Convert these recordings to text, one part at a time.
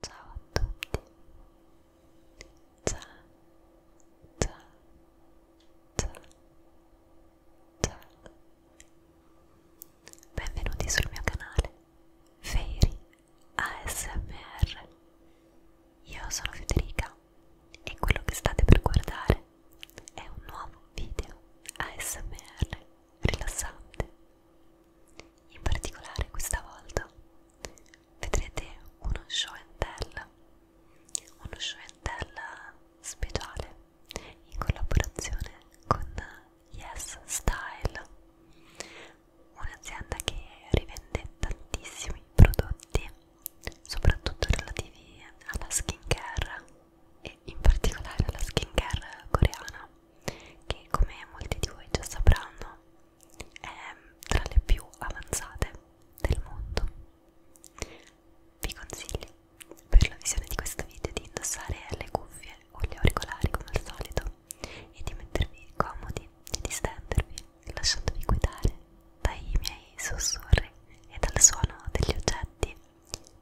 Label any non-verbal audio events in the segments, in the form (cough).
Ciao a tutti. Ciao. Ciao. Ciao. Ciao. Benvenuti sul mio canale Fairy ASMR. Io sono Federica e quello che state per guardare è un nuovo video ASMR rilassante in particolare questa volta vedrete uno show and tell, uno show and tell speciale in collaborazione con Yes Style, un'azienda che rivende tantissimi prodotti, soprattutto relativi alla skincare e in particolare alla skincare coreana che come molti di voi già sapranno è tra le più avanzate del mondo. Vi consiglio per la visione di questo video di indossare le cuffie o gli auricolari come al solito e di mettervi comodi e di stendervi lasciandovi guidare dai miei sussurri e dal suono degli oggetti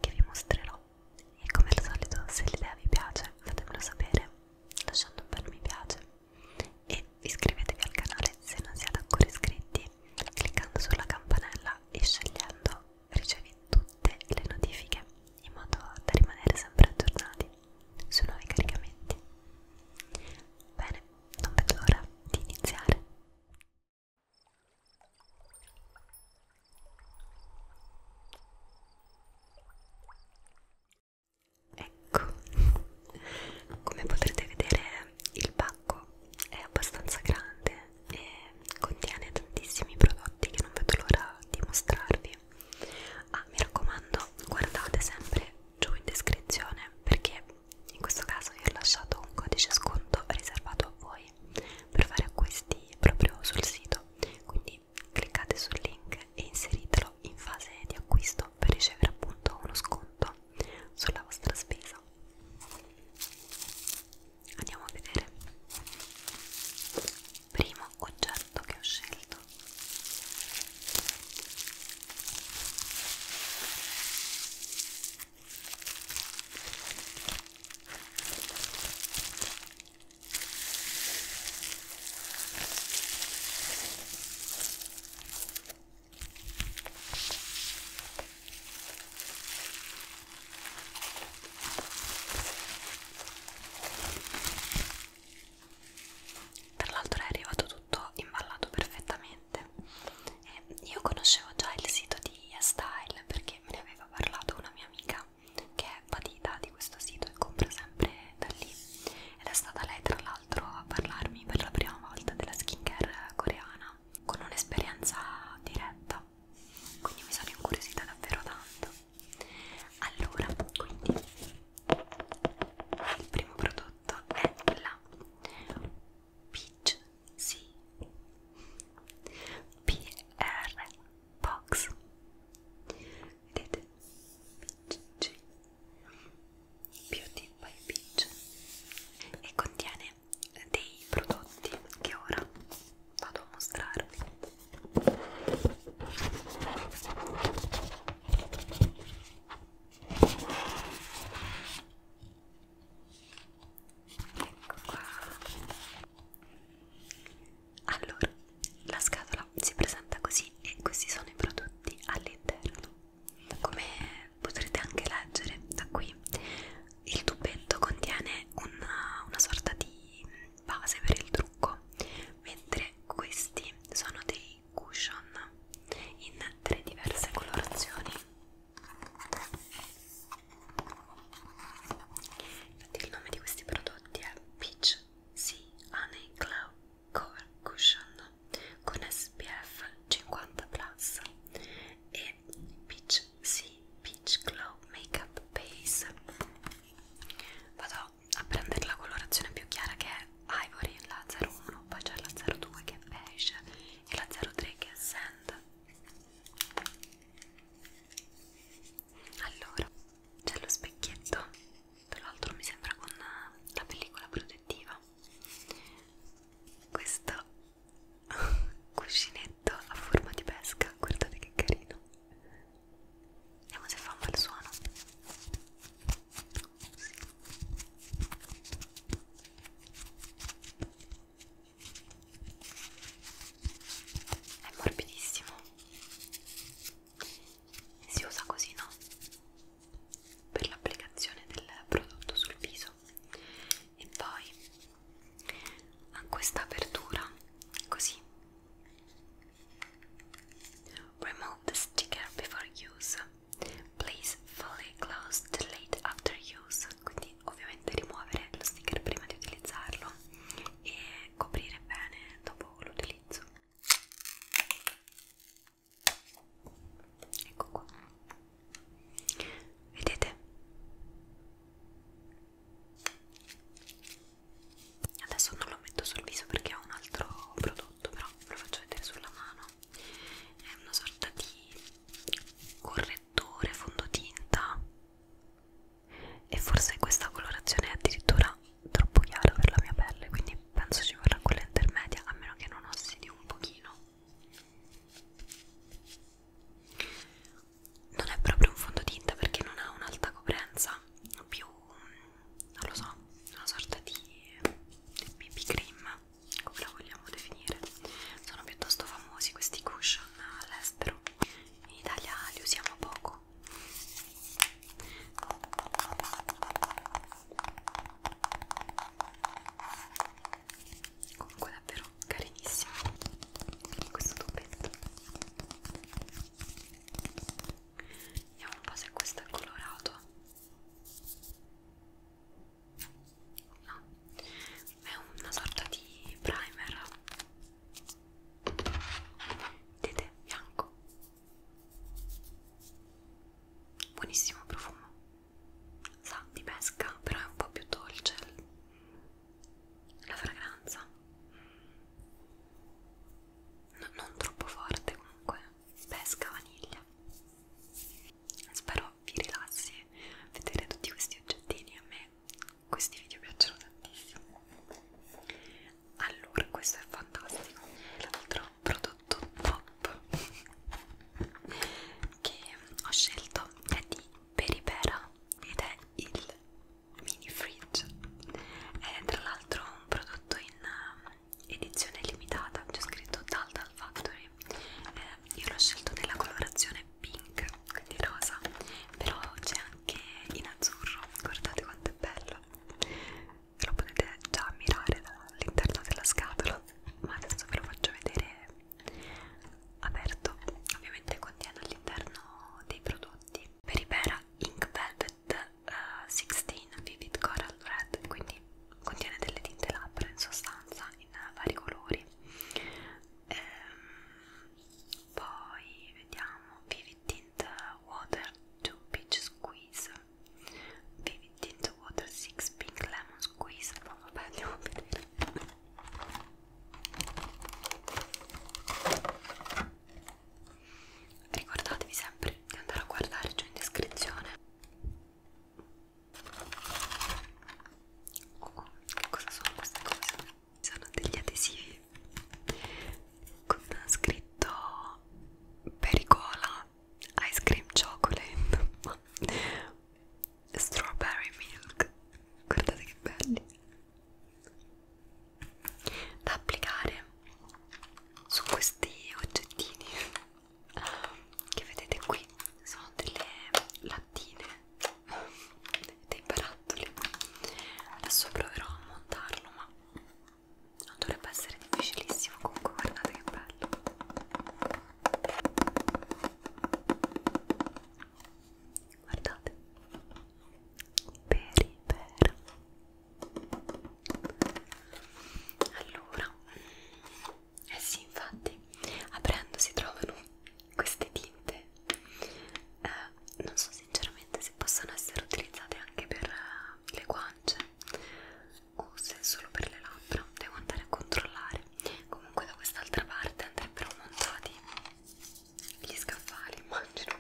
che vi mostrerò e come al solito se l'idea vi piace fatemelo sapere lasciando un bel mi piace e iscrivetevi al canale se non siete ancora iscritti cliccando sulla campanella e scegliendo ricevi tutte le notifiche in modo da rimanere sempre aggiornati sui nuovi caricamenti bene non vedo l'ora di iniziare Ecco, come potrete vedere il pacco è abbastanza grande e contiene tantissimi prodotti che non vedo l'ora di mostrarvi. Ah, mi raccomando, guardate sempre giù in descrizione perché in questo caso vi ho lasciato un codice sconto riservato a voi per fare acquisti proprio sul sito quindi quindi cliccate sul link e inseritelo in fase di acquisto per ricevere appunto uno sconto sulla vostra spesa andiamo a vedere primo oggetto che ho scelto tra l'altro è arrivato tutto imballato perfettamente. E io conoscevo già il sito di YesStyle perché me ne aveva parlato una mia amica Patita che è Patita di questo sito e compra sempre da lì ed è stata lei tra l'altro a parlarmi per la prima volta della skincare coreana con un'esperienza diretta quindi mi sono incuriosita davvero tanto allora quindi il primo prodotto è la Peach C PR Box did G Beauty by Peach e contiene dei prodotti che ora vado a mostrarvi ecco qua allora, la scatola si presenta così e questi sono i prodotti all'interno. Come potrete anche leggere da qui, il tubetto contiene una, una sorta di base per il trucco, mentre questi sono dei cushion in tre diverse colorazioni. Infatti il nome di questi prodotti è Peach Sea Honey Glow Core Cushion con SPF 50+, e Peach Sea Peach Glow Makeup Base. Vado a prendere la colorazione più chiara che è Ivory, la 01, poi c'è la 02 che è beige e la 03 che è sand allora c'è lo specchietto tra l'altro mi sembra con la pellicola protettiva questo (laughs) cuscinetto a forma di pesca guardate che carino vediamo se fa un bel suono è morbidissimo si usa così, no? Per l'applicazione del prodotto sul viso. E poi ha questa apertura così. Remove the sticker before use. Please fully close the lid after use. Quindi ovviamente rimuovere lo sticker prima di utilizzarlo e coprire bene dopo l'utilizzo ecco qua vedete adesso non lo metto sul viso perché ho un altro prodotto però ve lo faccio vedere sulla mano è una sorta di correttore fondotinta e forse questa colorazione è addirittura troppo chiara per la mia pelle quindi penso ci vorrà quella intermedia a meno che non ossidi un pochino non è proprio un fondotinta perché non ha un'alta coprenza più non lo so una sorta di BB cream come la vogliamo definire sono piuttosto famosi questi cushion all'estero in Italia li usiamo poco comunque davvero carinissimo questo tubetto vediamo un po' se questo è colorato no è una sorta di primer Vedete? Bianco. Buonissimo profumo. Sa di pesca, però è un po' più dolce la fragranza. No, non troppo forte comunque. Pesca vaniglia. Spero vi rilassi vedere tutti questi oggettini a me questi video piacciono tantissimo allora questo è fantastico l'altro prodotto pop (laughs) che ho scelto è di Peripera ed è il mini fridge è tra l'altro un prodotto in um, edizione limitata c'è scritto Dal Dal Factory eh, io l'ho scelto nella colorazione pink quindi rosa però c'è anche che in azzurro guardate quanto è bello lo potete già ammirare dall'interno della scatola ma adesso ve lo faccio vedere aperto ovviamente contiene all'interno dei prodotti per Peripera Ink Velvet uh, eh, 16 Vivid Coral Red quindi contiene delle tinte labbra in sostanza in vari colori ehm, poi vediamo Vivid Tint Water 2 Peach Squeeze Vivid Tint Water 6 Pink Lemon Squeeze ma vabbè andiamo a vedere ricordatevi sempre di andare a guardare giù in descrizione oh, che cosa sono queste cose sono degli adesivi con scritto pericola ice cream chocolate (laughs) strawberry milk guardate che belli da applicare su questi oggettini ehm, che vedete qui sono delle lattine dei barattoli adesso proverò a montarlo ma non dovrebbe essere difficilissimo comunque guardate che bello guardate per per allora eh sì infatti aprendo si trovano queste tinte eh, non so sinceramente se possano essere utilizzate anche per eh, le guance o se solo per le labbra devo andare a controllare comunque da quest'altra parte andrebbero montati gli scaffali immagino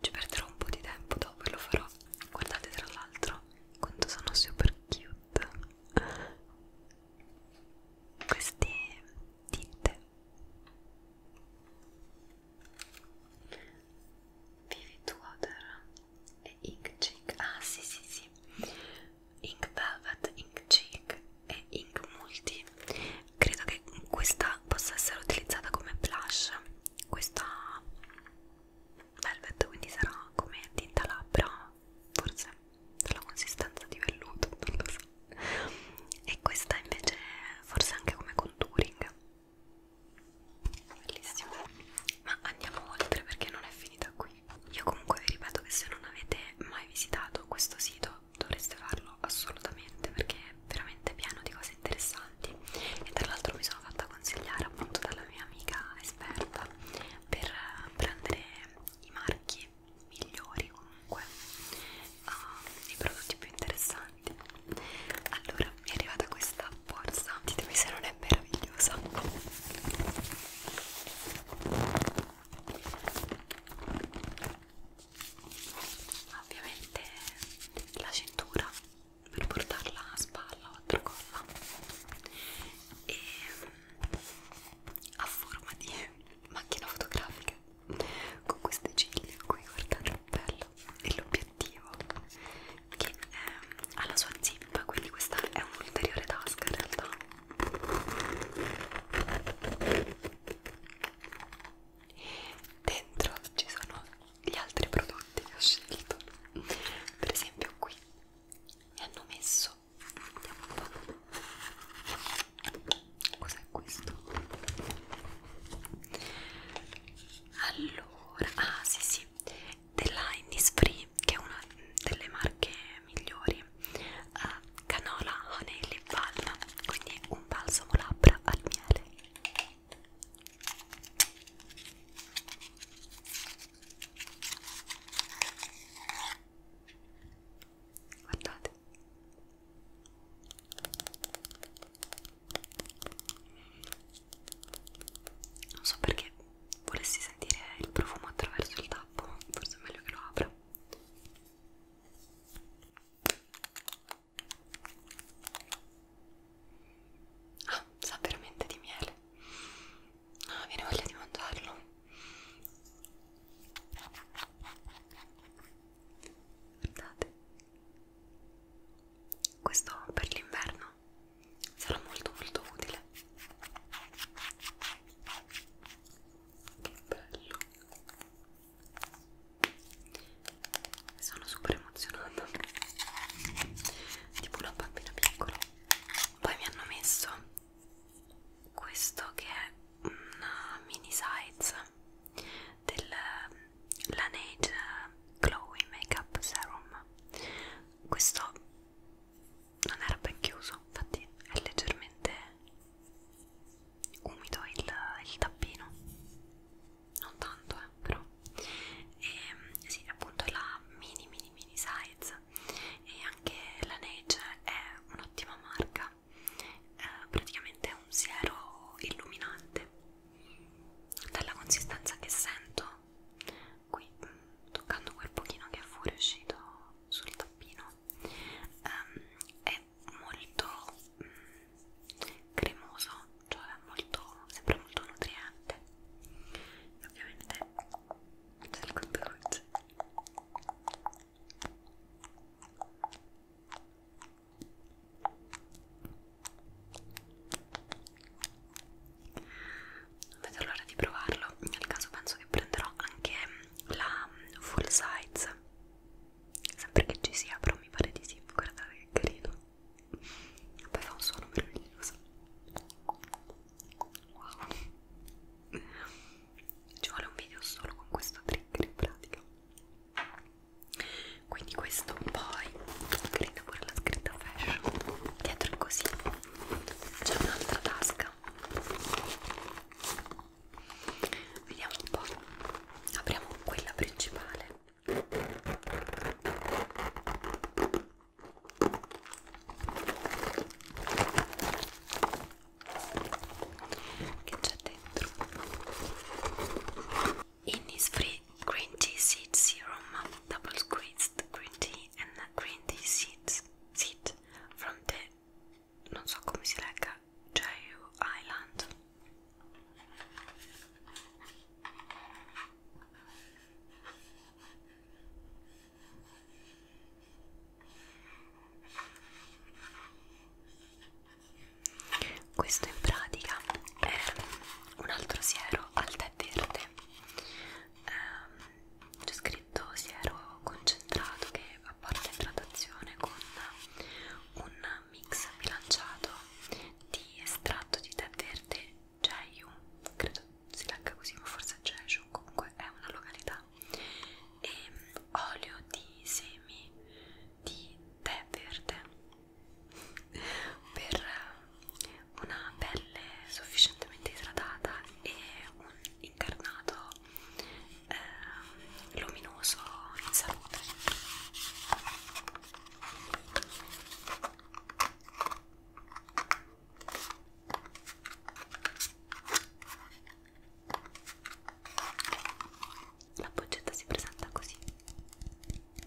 ci perderò un po' di tempo dopo e lo farò guardate tra l'altro quanto sono super cute queste tinte Vivid Water e Ink Cheek ah sì sì sì Ink Velvet, Ink Cheek e Ink Multi credo che questa possa essere utilizzata come blush questa Velvet quindi sarà come tinta labbra forse dalla consistenza di velluto non lo so e questa invece forse anche come contouring bellissimo ma andiamo oltre perché non è finita qui io comunque vi ripeto che se non avete mai visitato questo sito dovreste farlo assolutamente perché è veramente pieno di cose interessanti e tra l'altro mi sono fatta consigliare appunto dalla mia amica esperta per prendere i marchi migliori comunque uh, i prodotti più interessanti allora mi è arrivata questa borsa ditemi se non è meravigliosa ovviamente la cintura per portarla a spalla o a tracolla e mm, a forma di macchina fotografica con queste ciglia qui guardate che bello e l'obiettivo che è, ehm, ha la sua zip quindi questa è un'ulteriore tasca in realtà dentro ci sono gli altri prodotti che ho scelto per esempio qui mi hanno messo vediamo un po' Cos'è questo? Allora, ah sì sì, della Innisfree che è una delle marche migliori uh, Canola Honey Lip Balm, quindi un balsamo labbra al miele Guardate non so perché volessi sentire il profumo attraverso il tappo forse è meglio che lo apra ah sa veramente di miele ah viene voglia di mangiarlo guardate questo per l'inverno sarà molto molto utile che bello sono super emozionata tipo una bambina piccola poi mi hanno messo questo che è una mini size del ehm, Laneige Glowy Makeup Serum questo non era ben chiuso infatti è leggermente umido il, il tappino non tanto eh, però e ehm, sì appunto è la mini mini mini size e anche la Neige è un'ottima marca cos'è? Eh, praticamente è un siero illuminante dalla consistenza che sento qui mm, toccando quel pochino che è fuori uscito sul tappino ehm, è molto mm, cremoso cioè molto sembra molto nutriente e ovviamente c'è il contorno non vedo l'ora di provarlo. Nel caso penso che prenderò anche la full size. Sempre che ci sia, però mi pare di sì. Guardate che carino. Poi fa un suono meraviglioso. Wow ci vuole un video solo con questo trigger in pratica quindi questo poi credo pure la scritta fashion dietro è così c'è un'altra tasca vediamo un po' apriamo quella principale che c'è Free Green Tea Seed Serum Double Squeezed Green Tea and Green Tea Seeds Seed from the non so come si legga Jaiu Island Questo in pratica è un altro siero al tè verde. Ehm, C'è scritto siero concentrato che apporta idratazione con un mix bilanciato di estratto di tè verde Jeju, credo si legga così, ma forse è Jeju, comunque è una località rosa e mm, olio di semi di tè verde per eh, una pelle sufficientemente idratata e un incarnato eh, luminoso in salute la boccetta si presenta così. Vedete?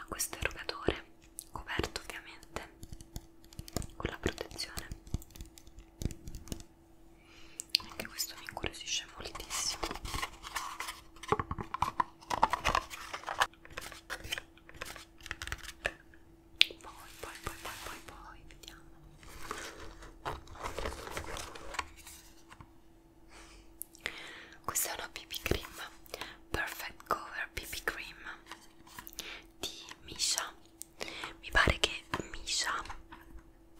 a questo erogatore coperto ovviamente con la protezione anche questo mi incuriosisce moltissimo poi poi poi poi poi poi vediamo questa è una BB cream perfect cover BB cream di Misha mi pare che Misha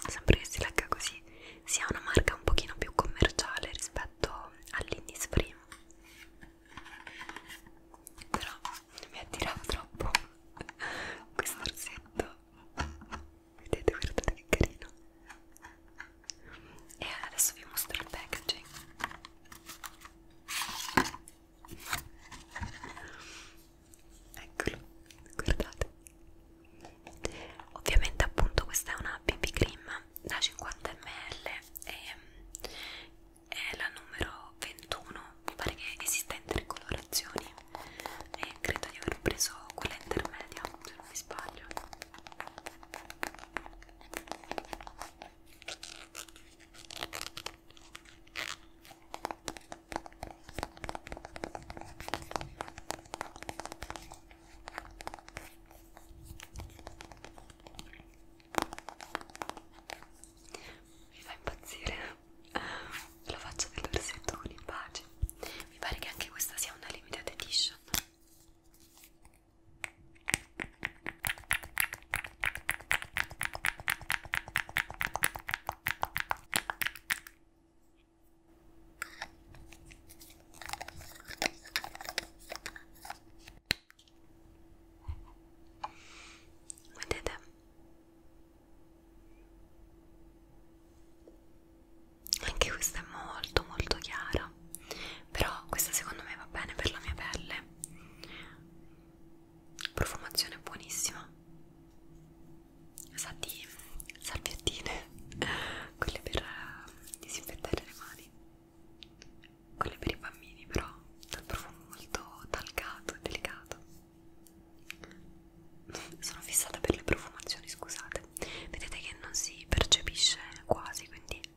sempre che si legga così sia una marca un pochino più commerciale rispetto all'Innisfree però non mi attirava troppo (laughs) questo orsetto vedete guardate che carino e adesso vi mostro il packaging eccolo guardate ovviamente appunto questa è una BB cream da 50 ml e ehm, è la numero 21 mi pare che esista in tre colorazioni e credo di aver preso quella intermedia se non mi sbaglio mi fa impazzire eh, la faccia del versetto con i baci. Mi pare che anche questa sia una limited edition. Vedete? Anche questa è molto molto chiara no però questa secondo me va bene per la mia pelle profumazione buonissima sa di salviettine (laughs) quelle per eh, disinfettare le mani quelle per i bambini però dal profumo molto talcato e delicato (laughs) sono fissata per le profumazioni scusate vedete che non si percepisce quasi quindi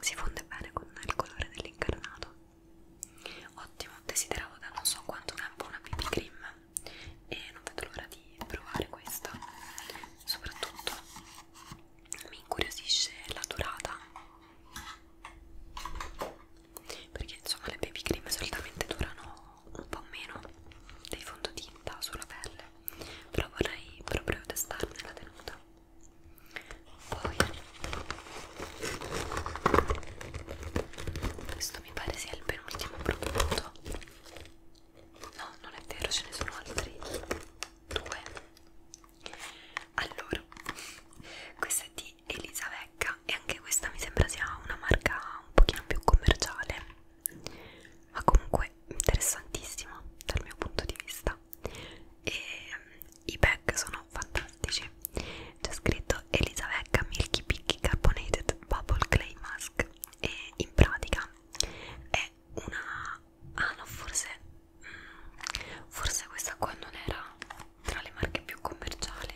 si fonde bene con il colore dell'incarnato ottimo desideravo da non so quanto tempo una BB cream e non vedo l'ora di provare questa soprattutto mi incuriosisce la durata perché insomma le baby cream solitamente durano un po' meno dei fondotinta sulla pelle però vorrei proprio testarne la tenuta poi questo mi pare sia il penultimo prodotto no non è vero ce ne sono altri due allora questa è di Elisa Vecca e anche questa mi sembra sia una marca un pochino più commerciale ma comunque interessantissima dal mio punto di vista e i pack sono fantastici c'è scritto Elisa Vecca Milky Picky Carbonated Bubble Clay Mask e in pratica è una... ah no forse mm, forse questa qua non era tra le marche più commerciali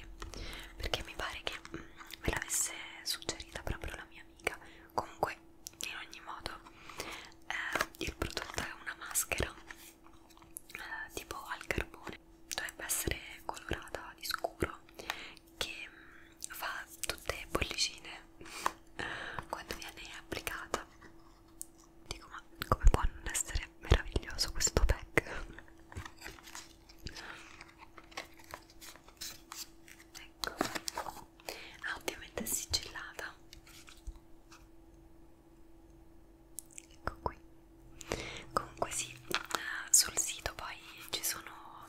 perché mi pare che mm, me l'avesse suggerita proprio la mia amica comunque in ogni modo eh, il prodotto è una maschera eh, tipo al carbone dovrebbe essere colorata di scuro che mm, fa tutte bollicine (laughs) quando viene applicata dico ma come può non essere meraviglioso questo pack (laughs) ecco ah, ovviamente è sigillata ecco qui comunque sì eh, sul sito poi ci sono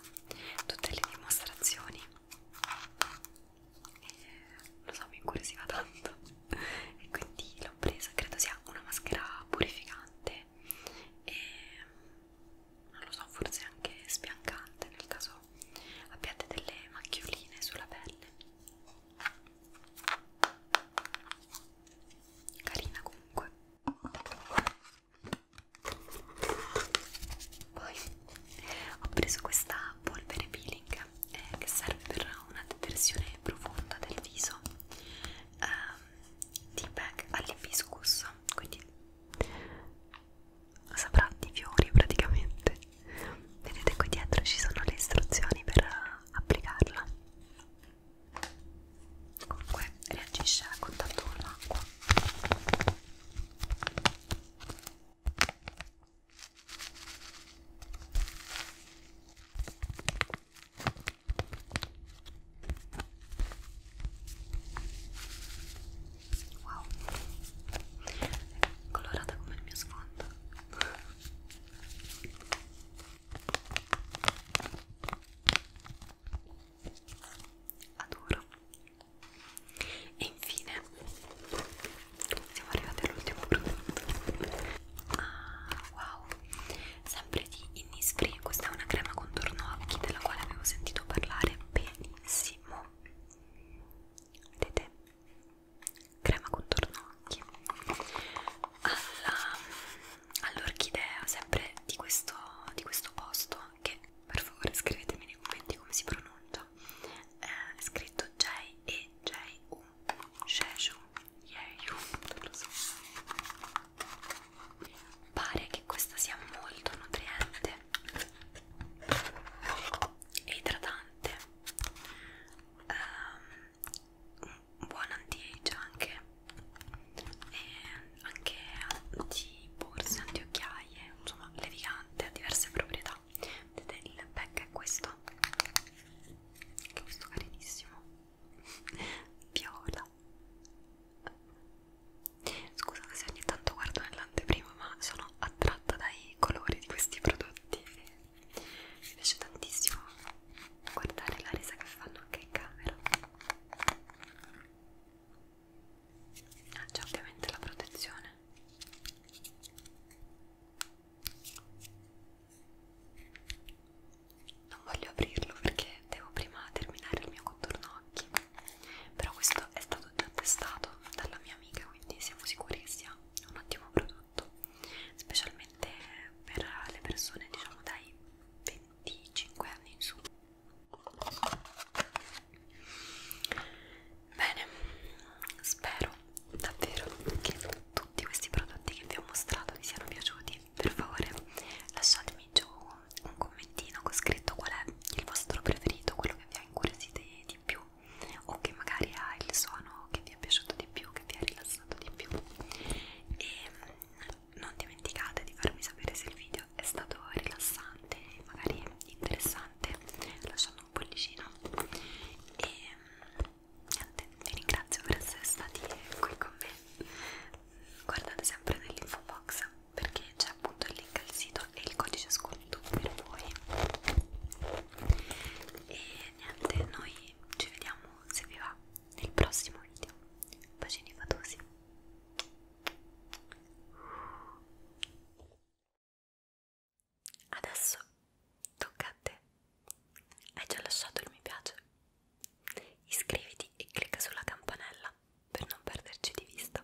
tutte le dimostrazioni e lo so mi incuriosiva tanto e quindi l'ho presa credo sia una maschera purificante e non lo so forse anche spiancante nel caso abbiate delle macchioline sulla pelle carina comunque poi ho preso questa polvere peeling eh, che serve per una detersione profonda del viso ehm, di eh, bag all'ibiscus quindi saprà di fiori praticamente vedete qui dietro ci sono le istruzioni per eh, applicarla comunque reagisce a contatto con l'acqua wow colorata come il mio sfondo adoro e infine siamo arrivati all'ultimo prodotto ah wow sempre di Innisfree questa è una crema contorno occhi della quale avevo sentito parlare benissimo vedete crema contorno occhi all'orchidea all sempre di questo, di questo posto che per favore scrivetemi nei commenti come si pronuncia eh, è scritto J-E-J-U Jeju Jeju non lo so pare che questa sia molto nutriente e idratante um, un buon anti-age anche e anche di borse, anti-occhiaie insomma levigante, ha diverse proprietà vedete il pack è questo che è questo carinissimo (laughs) viola scusate se ogni tanto guardo nella nell'anteprima ma sono attratta dai colori di questi prodotti e mi piace tantissimo guardare la resa che fanno anche in camera ah, c'è ovviamente la protezione non voglio aprirlo perché devo prima terminare il mio contorno occhi però questo è stato già testato dalla mia amica quindi siamo sicuri che sia un ottimo prodotto specialmente per le persone diciamo dai 25 anni in su bene spero davvero che tutti questi prodotti che vi ho mostrato vi siano piaciuti per favore lasciatemi giù un commentino con scritto qual è il vostro preferito quello che vi ha incuriosito di più o che magari ha il suono che vi è piaciuto di più, che vi ha rilassato di più e mm, non dimenticate di farmi sapere se il video è stato rilassante magari interessante lasciando un pollicino e mm, niente, vi ringrazio per essere stati qui con me guardate sempre nell'info box perché c'è appunto il link al sito e il codice sconto tutto per voi e niente noi ci vediamo se vi va nel prossimo video bacini fatosi adesso tocca a te hai già lasciato il mi piace iscriviti e clicca sulla campanella per non perderci di vista